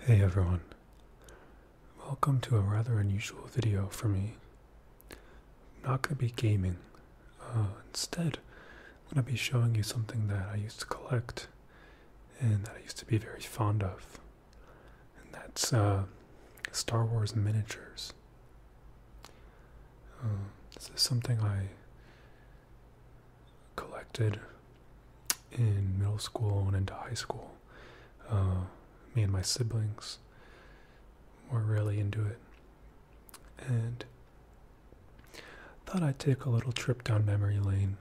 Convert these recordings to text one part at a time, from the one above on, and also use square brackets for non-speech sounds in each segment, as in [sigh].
Hey everyone, welcome to a rather unusual video for me. not going to be gaming, uh, instead I'm going to be showing you something that I used to collect and that I used to be very fond of, and that's uh, Star Wars miniatures. Uh, this is something I collected in middle school and into high school. Uh, me and my siblings were really into it. And thought I'd take a little trip down memory lane,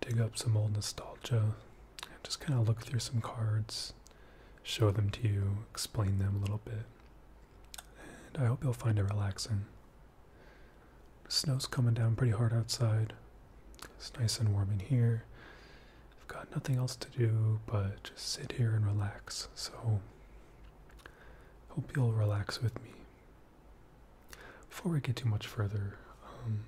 dig up some old nostalgia, and just kind of look through some cards, show them to you, explain them a little bit. And I hope you'll find it relaxing snow's coming down pretty hard outside. It's nice and warm in here. I've got nothing else to do but just sit here and relax. So, hope you'll relax with me. Before we get too much further, um,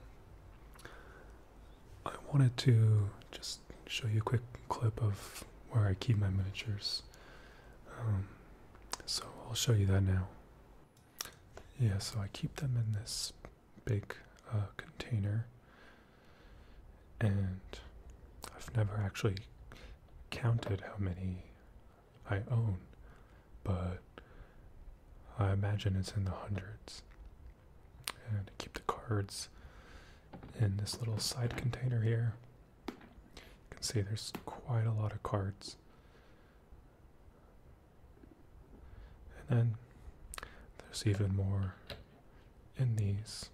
I wanted to just show you a quick clip of where I keep my miniatures. Um, so I'll show you that now. Yeah, so I keep them in this big uh, container, and I've never actually counted how many I own, but I imagine it's in the hundreds. And I keep the cards in this little side container here. You can see there's quite a lot of cards. And then there's even more in these.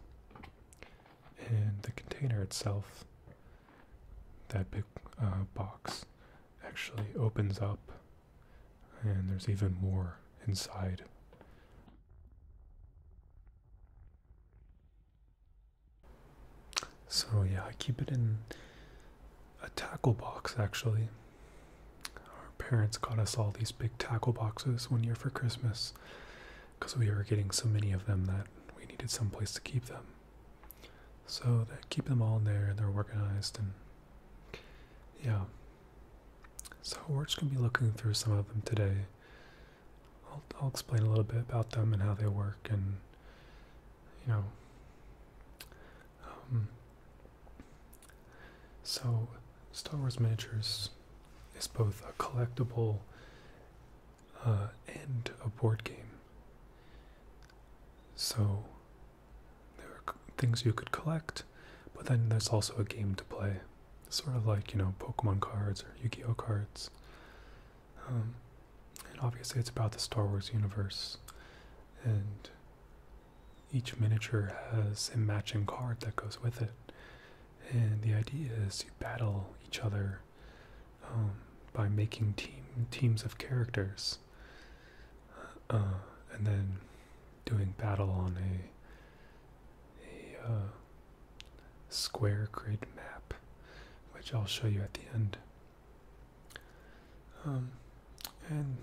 In the container itself, that big uh, box actually opens up, and there's even more inside. So yeah, I keep it in a tackle box actually. Our parents got us all these big tackle boxes one year for Christmas because we were getting so many of them that we needed some place to keep them. So they keep them all there they're organized and yeah. So we're just gonna be looking through some of them today. I'll, I'll explain a little bit about them and how they work and you know um, so, Star Wars miniatures is both a collectible uh, and a board game. So, there are things you could collect, but then there's also a game to play. Sort of like, you know, Pokemon cards or Yu Gi Oh cards. Um, and obviously, it's about the Star Wars universe, and each miniature has a matching card that goes with it. And the idea is you battle each other um, by making team teams of characters, uh, and then doing battle on a a uh, square grid map, which I'll show you at the end. Um, and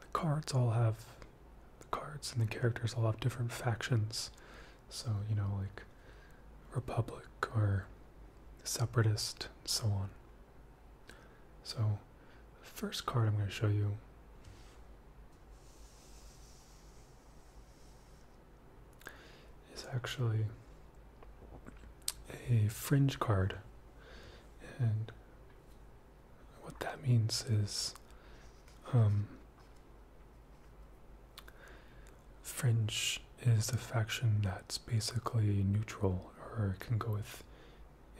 the cards all have the cards and the characters all have different factions. So, you know, like Republic or Separatist, so on. So, the first card I'm going to show you is actually a fringe card. And what that means is um, fringe is the faction that's basically neutral or can go with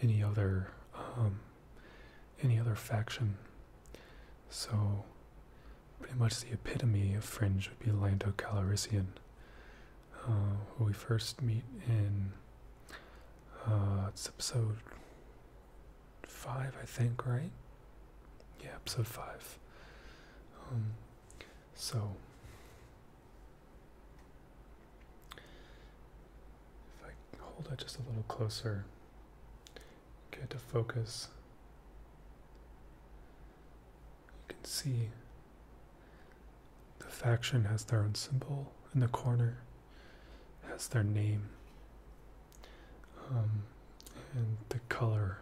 any other um, any other faction. So pretty much the epitome of fringe would be Lando Calrissian. Uh, we first meet in uh, it's episode five, I think, right? Yeah, episode five. Um, so if I hold it just a little closer, get to focus. You can see the faction has their own symbol in the corner, has their name, um, and the color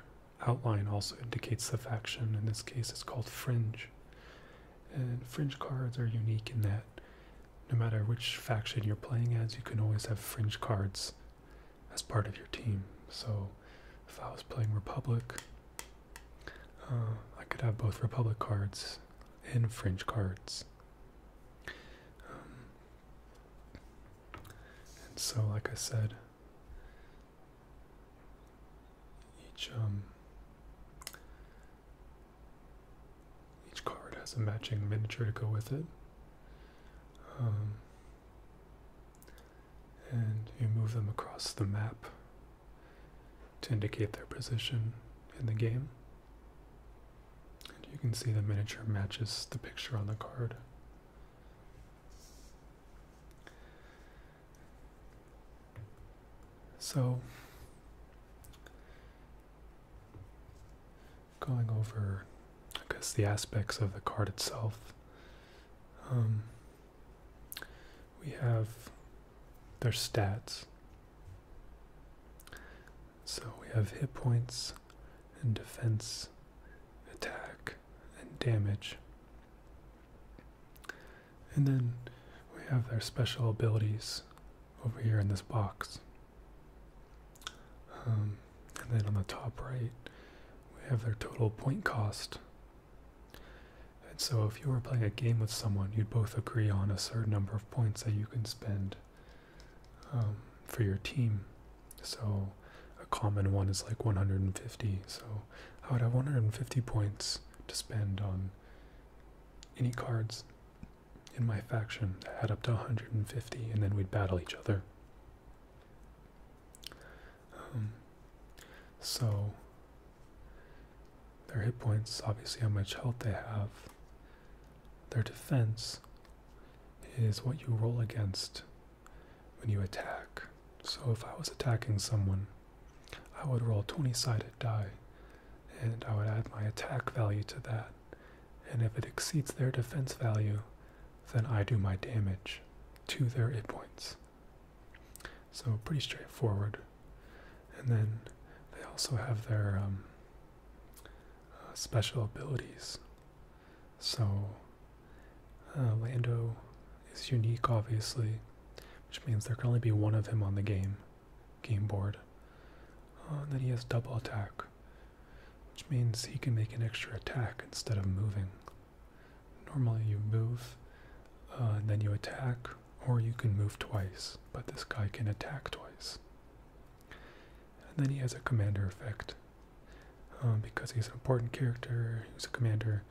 outline also indicates the faction. In this case, it's called Fringe. And Fringe cards are unique in that no matter which faction you're playing as, you can always have Fringe cards as part of your team. So if I was playing Republic, uh, I could have both Republic cards and French cards. Um, and so, like I said, each um, each card has a matching miniature to go with it. Um, and you move them across the map to indicate their position in the game. And you can see the miniature matches the picture on the card. So, going over, I guess, the aspects of the card itself. Um, we have their stats. So we have hit points and defense, attack, and damage. And then we have their special abilities over here in this box. Um, and then on the top right, we have their total point cost and so, if you were playing a game with someone, you'd both agree on a certain number of points that you can spend um, for your team. So, a common one is like 150. So, I would have 150 points to spend on any cards in my faction that add up to 150, and then we'd battle each other. Um, so, their hit points, obviously, how much health they have. Their defense is what you roll against when you attack. So if I was attacking someone, I would roll 20 sided die and I would add my attack value to that. And if it exceeds their defense value, then I do my damage to their hit points. So pretty straightforward. And then they also have their um, uh, special abilities. So uh, Lando is unique, obviously, which means there can only be one of him on the game game board. Uh, and then he has double attack, which means he can make an extra attack instead of moving. Normally, you move, then you attack, or you can move twice, but this guy can attack twice. And then he has a commander effect. Um, because he's an important character, he's a commander.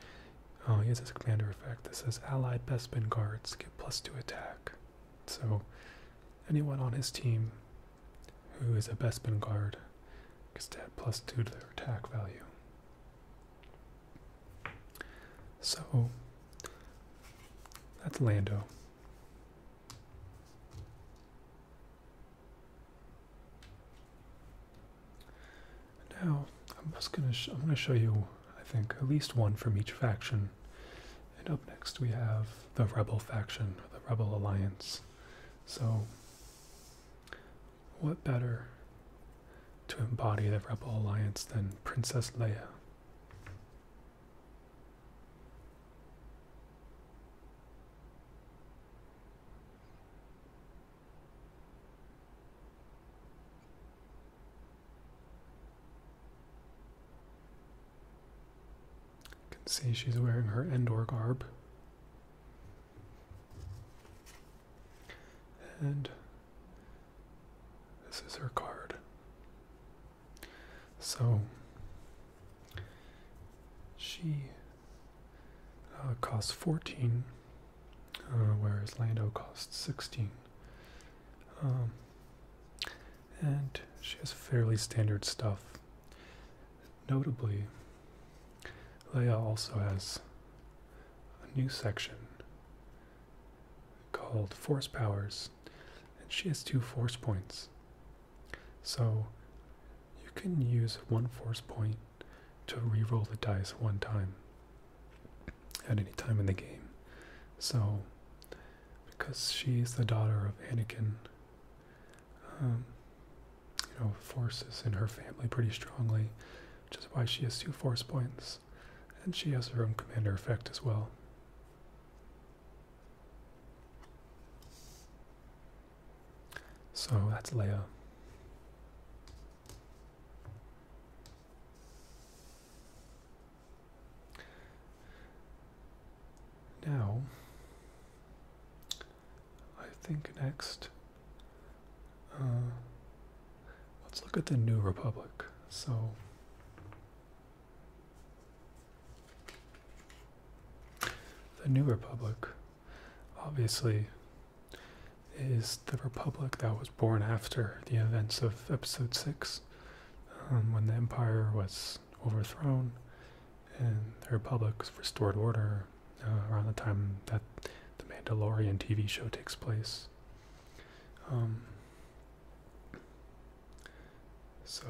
Uh, he has his commander effect that says allied Bespin guards get plus two attack. So anyone on his team who is a Bespin guard gets that plus two to their attack value. So that's Lando. Now I'm just gonna I'm gonna show you I think at least one from each faction. And up next we have the Rebel faction, or the Rebel Alliance. So what better to embody the Rebel Alliance than Princess Leia. You can see she's wearing her Endor garb. And this is her card. So she uh, costs 14, uh, whereas Lando costs 16. Um, and she has fairly standard stuff. Notably, Leia also has a new section called Force Powers, and she has two force points. So you can use one force point to re-roll the dice one time at any time in the game. So because she's the daughter of Anakin, um, you know, force in her family pretty strongly, which is why she has two force points and she has her own commander effect as well. So that's Leia. Now, I think next uh, Let's look at the New Republic. So, the New Republic obviously is the Republic that was born after the events of Episode 6, um, when the Empire was overthrown and the Republic restored order uh, around the time that the Mandalorian TV show takes place. Um, so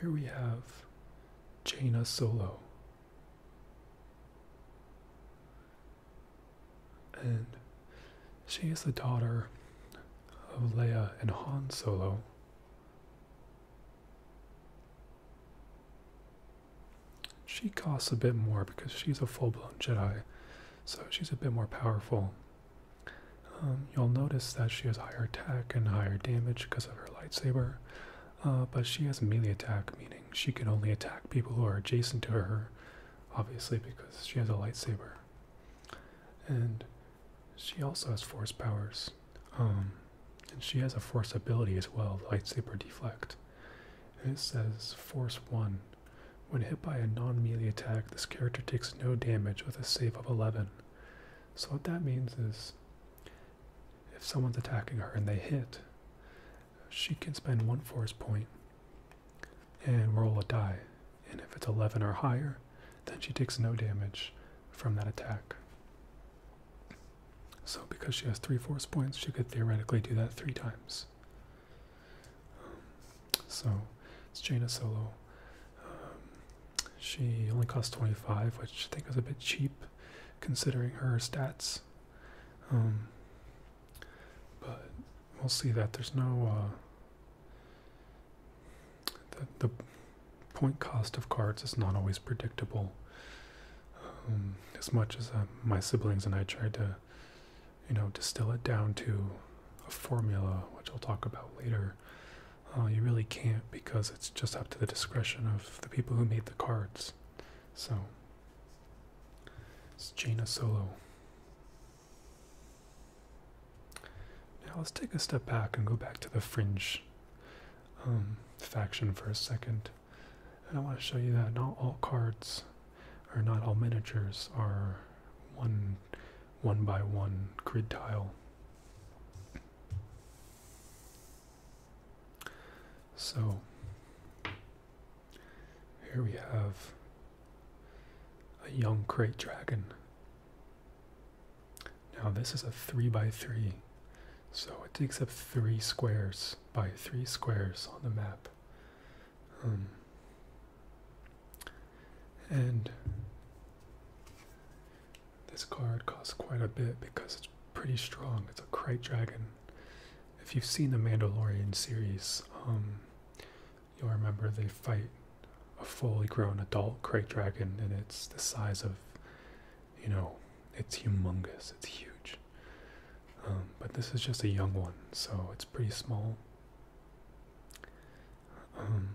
here we have Jaina Solo. And she is the daughter of Leia and Han Solo. She costs a bit more because she's a full blown Jedi, so she's a bit more powerful. Um, you'll notice that she has higher attack and higher damage because of her lightsaber, uh, but she has melee attack, meaning she can only attack people who are adjacent to her, obviously, because she has a lightsaber. And she also has force powers, um, and she has a force ability as well lightsaber deflect. And it says Force 1 when hit by a non melee attack, this character takes no damage with a save of 11. So, what that means is if someone's attacking her and they hit, she can spend one force point and roll a die. And if it's 11 or higher, then she takes no damage from that attack. So, because she has three force points, she could theoretically do that three times so it's Jaina Solo. Um, she only costs 25, which I think is a bit cheap considering her stats. Um, but we'll see that there's no uh, the, the point cost of cards is not always predictable. Um, as much as uh, my siblings and I tried to you know, distill it down to a formula, which I'll talk about later, uh, you really can't because it's just up to the discretion of the people who made the cards. So, it's Jaina Solo. Now let's take a step back and go back to the Fringe um, faction for a second. And I want to show you that not all cards or not all miniatures are one one by one grid tile. So here we have a young crate dragon. Now this is a three by three, so it takes up three squares by three squares on the map. Um, and this card costs quite a bit because it's pretty strong. It's a krait Dragon. If you've seen the Mandalorian series, um, you'll remember they fight a fully grown adult krait Dragon, and it's the size of, you know, it's humongous, it's huge. Um, but this is just a young one, so it's pretty small. Um,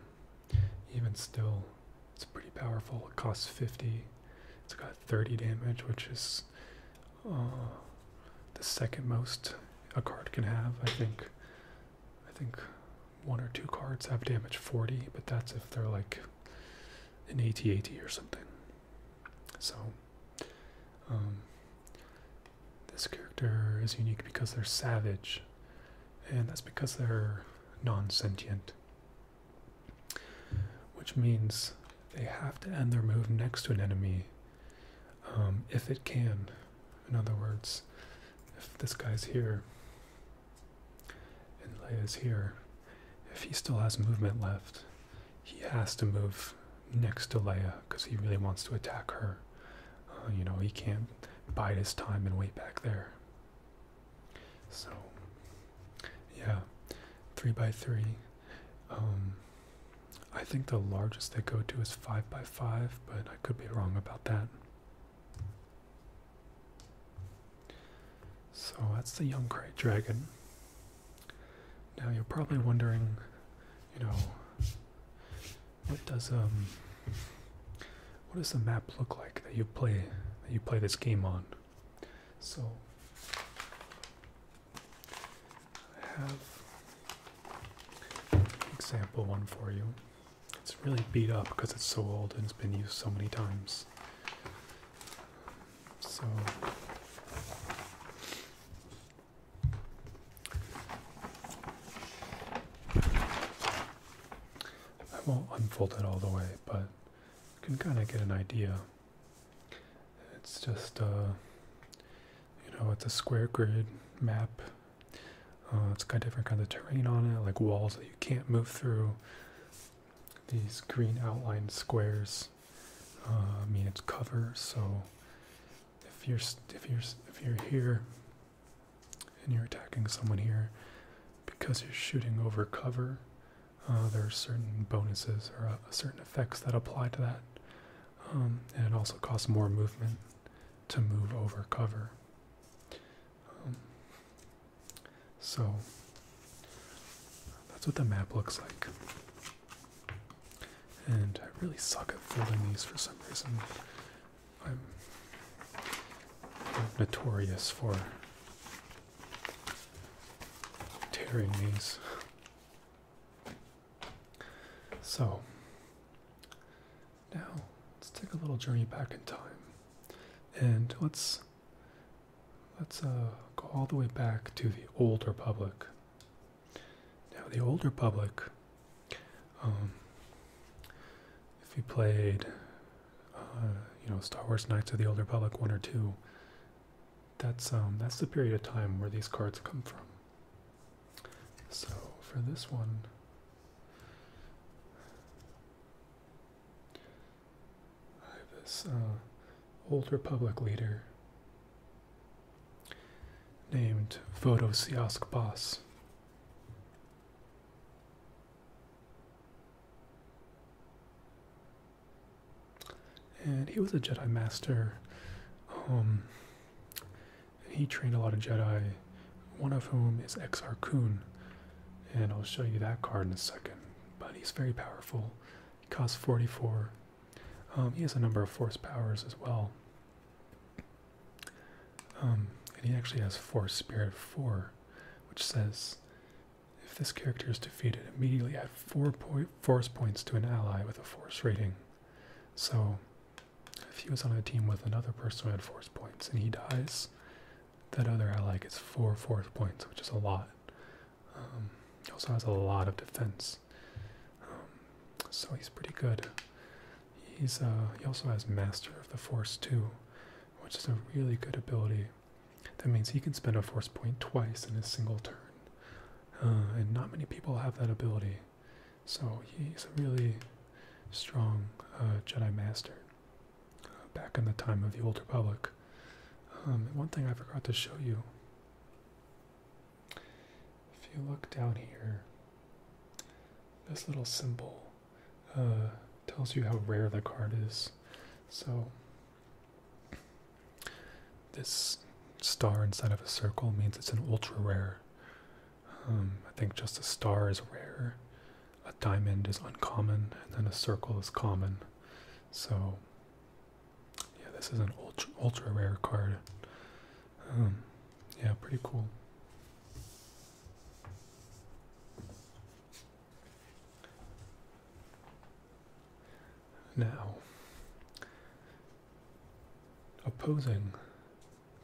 even still, it's pretty powerful. It costs 50. It's got 30 damage, which is uh, the second most a card can have. I think. I think one or two cards have damage 40, but that's if they're like an AT-AT or something. So um, this character is unique because they're savage, and that's because they're non sentient, which means they have to end their move next to an enemy um, if it can. In other words, if this guy's here and Leia's here, if he still has movement left, he has to move next to Leia because he really wants to attack her. Uh, you know, he can't bide his time and wait back there. So, yeah, three by three. Um, I think the largest they go to is five by five, but I could be wrong about that. So that's the young Youngcrate dragon. Now you're probably wondering, you know, what does um what does the map look like that you play that you play this game on? So I have example one for you. It's really beat up because it's so old and it's been used so many times. So I won't unfold it all the way, but you can kind of get an idea. It's just, uh, you know, it's a square grid map. Uh, it's got different kinds of terrain on it, like walls that you can't move through. These green outlined squares uh, I mean it's cover, so if you're if you're if you're here and you're attacking someone here because you're shooting over cover, uh, there are certain bonuses or uh, certain effects that apply to that, um, and it also costs more movement to move over cover. Um, so that's what the map looks like. And I really suck at folding these for some reason. I'm notorious for tearing these. So, now let's take a little journey back in time. And let's let's uh, go all the way back to the old republic. Now, the older public, um, if you played, uh, you know, Star Wars Knights of the Older Republic one or two, that's um, that's the period of time where these cards come from. So for this one. I have this uh, old Republic leader named Vodosiask Boss. And he was a Jedi Master. Um, he trained a lot of Jedi, one of whom is Exar Kun. And I'll show you that card in a second. But he's very powerful. He costs 44. Um, he has a number of force powers as well. Um, and he actually has Force Spirit 4, which says if this character is defeated, immediately add 4 po force points to an ally with a force rating. So if he was on a team with another person who had force points and he dies, that other ally gets 4 force points, which is a lot. Um, he also has a lot of defense. Um, so he's pretty good. He's uh, he also has Master of the Force too, which is a really good ability. That means he can spend a force point twice in a single turn, uh, and not many people have that ability. So he's a really strong uh, Jedi Master. back in the time of the Old Republic. Um, one thing I forgot to show you if you look down here, this little symbol uh, tells you how rare the card is. So, this star inside of a circle means it's an ultra rare. Um, I think just a star is rare, a diamond is uncommon, and then a circle is common. So, yeah, this is an ultra, ultra rare card. Um, yeah, pretty cool. Now, opposing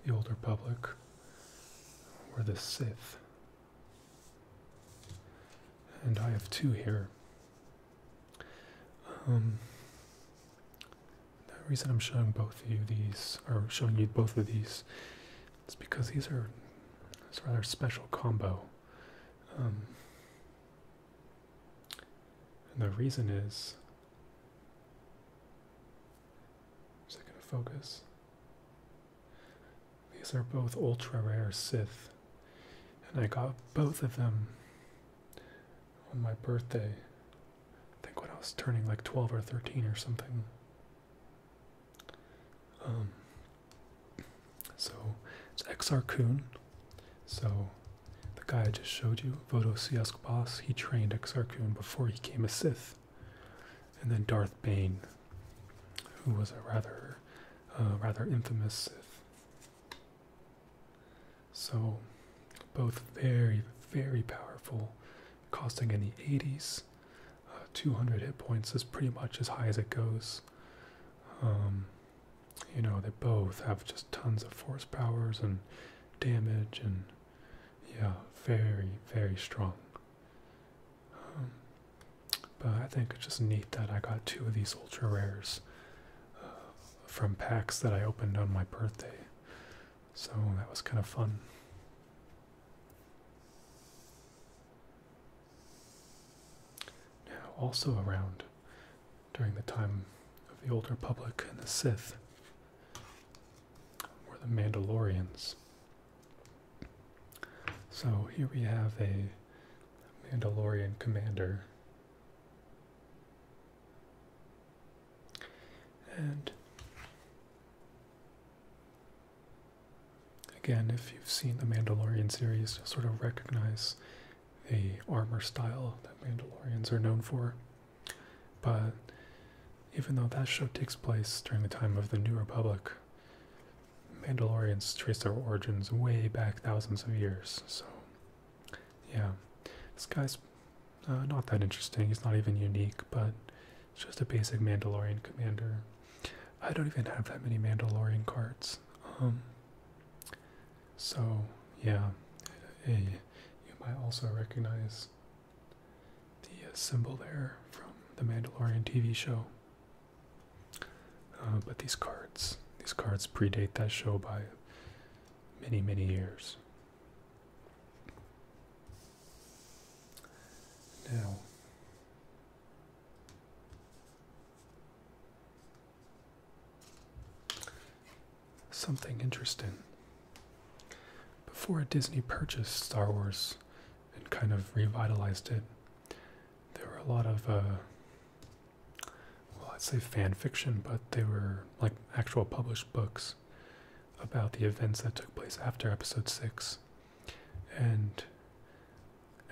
the older public were the Sith. And I have two here. Um, the reason I'm showing both of you these, or showing you both of these, is because these are it's a rather special combo. Um, and the reason is. Is it going to focus? These are both ultra rare Sith, and I got both of them on my birthday. I think when I was turning like 12 or 13 or something. Um, so it's XR So the guy I just showed you, Vodo Siask Boss, he trained XR before he came a Sith. And then Darth Bane, who was a rather, uh, rather infamous Sith. So, both very, very powerful, costing in the 80s. Uh, 200 hit points is pretty much as high as it goes. Um, you know, they both have just tons of force powers and damage, and yeah, very, very strong. Um, but I think it's just neat that I got two of these ultra rares uh, from packs that I opened on my birthday. So that was kind of fun. Now, also around during the time of the Old Republic and the Sith were the Mandalorians. So here we have a Mandalorian commander and again, if you've seen the Mandalorian series, you'll sort of recognize the armor style that Mandalorians are known for. But even though that show takes place during the time of the New Republic, Mandalorians trace their origins way back thousands of years, so yeah, this guy's uh, not that interesting. He's not even unique, but it's just a basic Mandalorian commander. I don't even have that many Mandalorian cards. Um, so, yeah, you might also recognize the symbol there from the Mandalorian TV show. Uh, but these cards, these cards predate that show by many, many years. Now, something interesting. Before a Disney purchased Star Wars and kind of revitalized it, there were a lot of, uh, well, I'd say fan fiction, but they were like actual published books about the events that took place after episode 6. And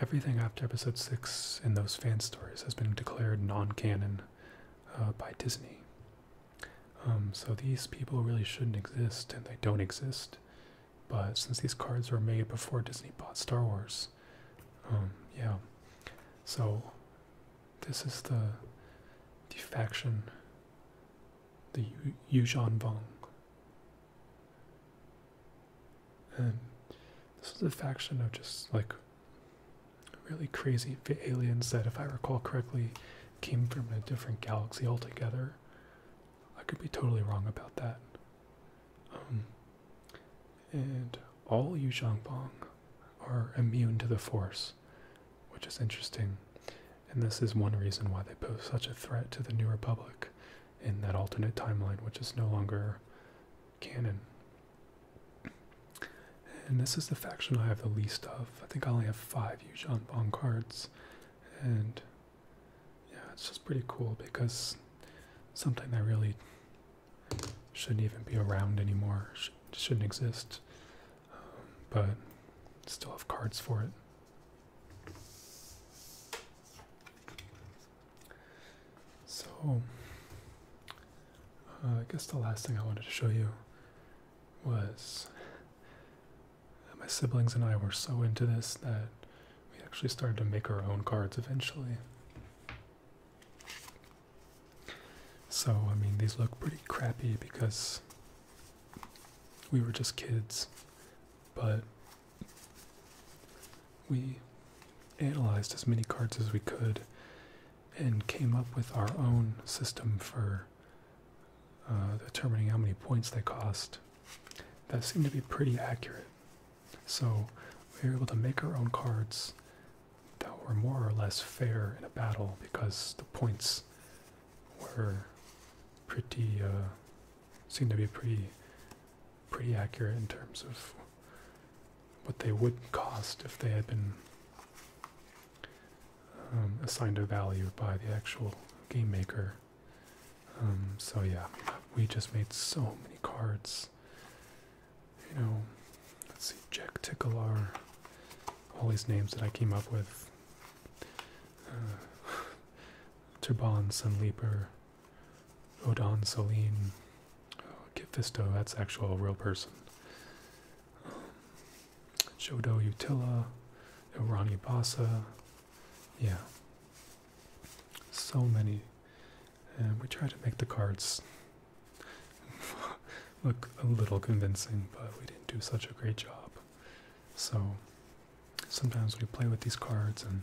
everything after episode 6 in those fan stories has been declared non canon uh, by Disney. Um, so these people really shouldn't exist, and they don't exist. But since these cards were made before Disney bought Star Wars, um, yeah. So this is the, defection the Yuzhan Vong. And this was a faction of just like really crazy aliens that, if I recall correctly, came from a different galaxy altogether. I could be totally wrong about that. Um, and all Yuzhangbang are immune to the Force which is interesting. And this is one reason why they pose such a threat to the New Republic in that alternate timeline, which is no longer canon. And this is the faction I have the least of. I think I only have five Yuuzhan Vong cards. And yeah, it's just pretty cool because something that really shouldn't even be around anymore, shouldn't exist but still have cards for it. So, uh, I guess the last thing I wanted to show you was my siblings and I were so into this that we actually started to make our own cards eventually. So, I mean, these look pretty crappy because we were just kids, but we analyzed as many cards as we could and came up with our own system for uh, determining how many points they cost. That seemed to be pretty accurate. So we were able to make our own cards that were more or less fair in a battle because the points were pretty uh, seemed to be pretty pretty accurate in terms of what they would cost if they had been um, assigned a value by the actual game maker. Um, so yeah, we just made so many cards. You know, let's see, Jack Tickler, all these names that I came up with uh, [sighs] Turban, leaper. Odon, Selene, oh, Kifisto, that's actual real person. Shodo Jodo Utila, Irani Basa, yeah. So many. And we try to make the cards [laughs] look a little convincing, but we didn't do such a great job. So sometimes we play with these cards and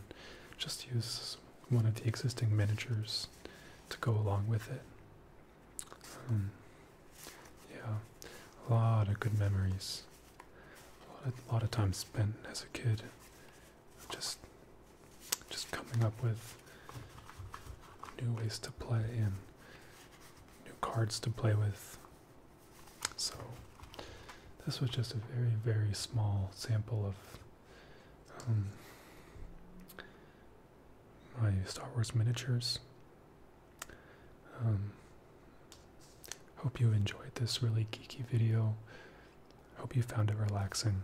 just use one of the existing miniatures to go along with it. Um, yeah, a lot of good memories. A lot of, time spent as a kid, just just coming up with new ways to play in new cards to play with. So this was just a very, very small sample of um, my Star Wars miniatures. Um, hope you enjoyed this really geeky video. Hope you found it relaxing.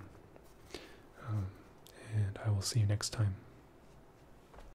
Um, and I will see you next time.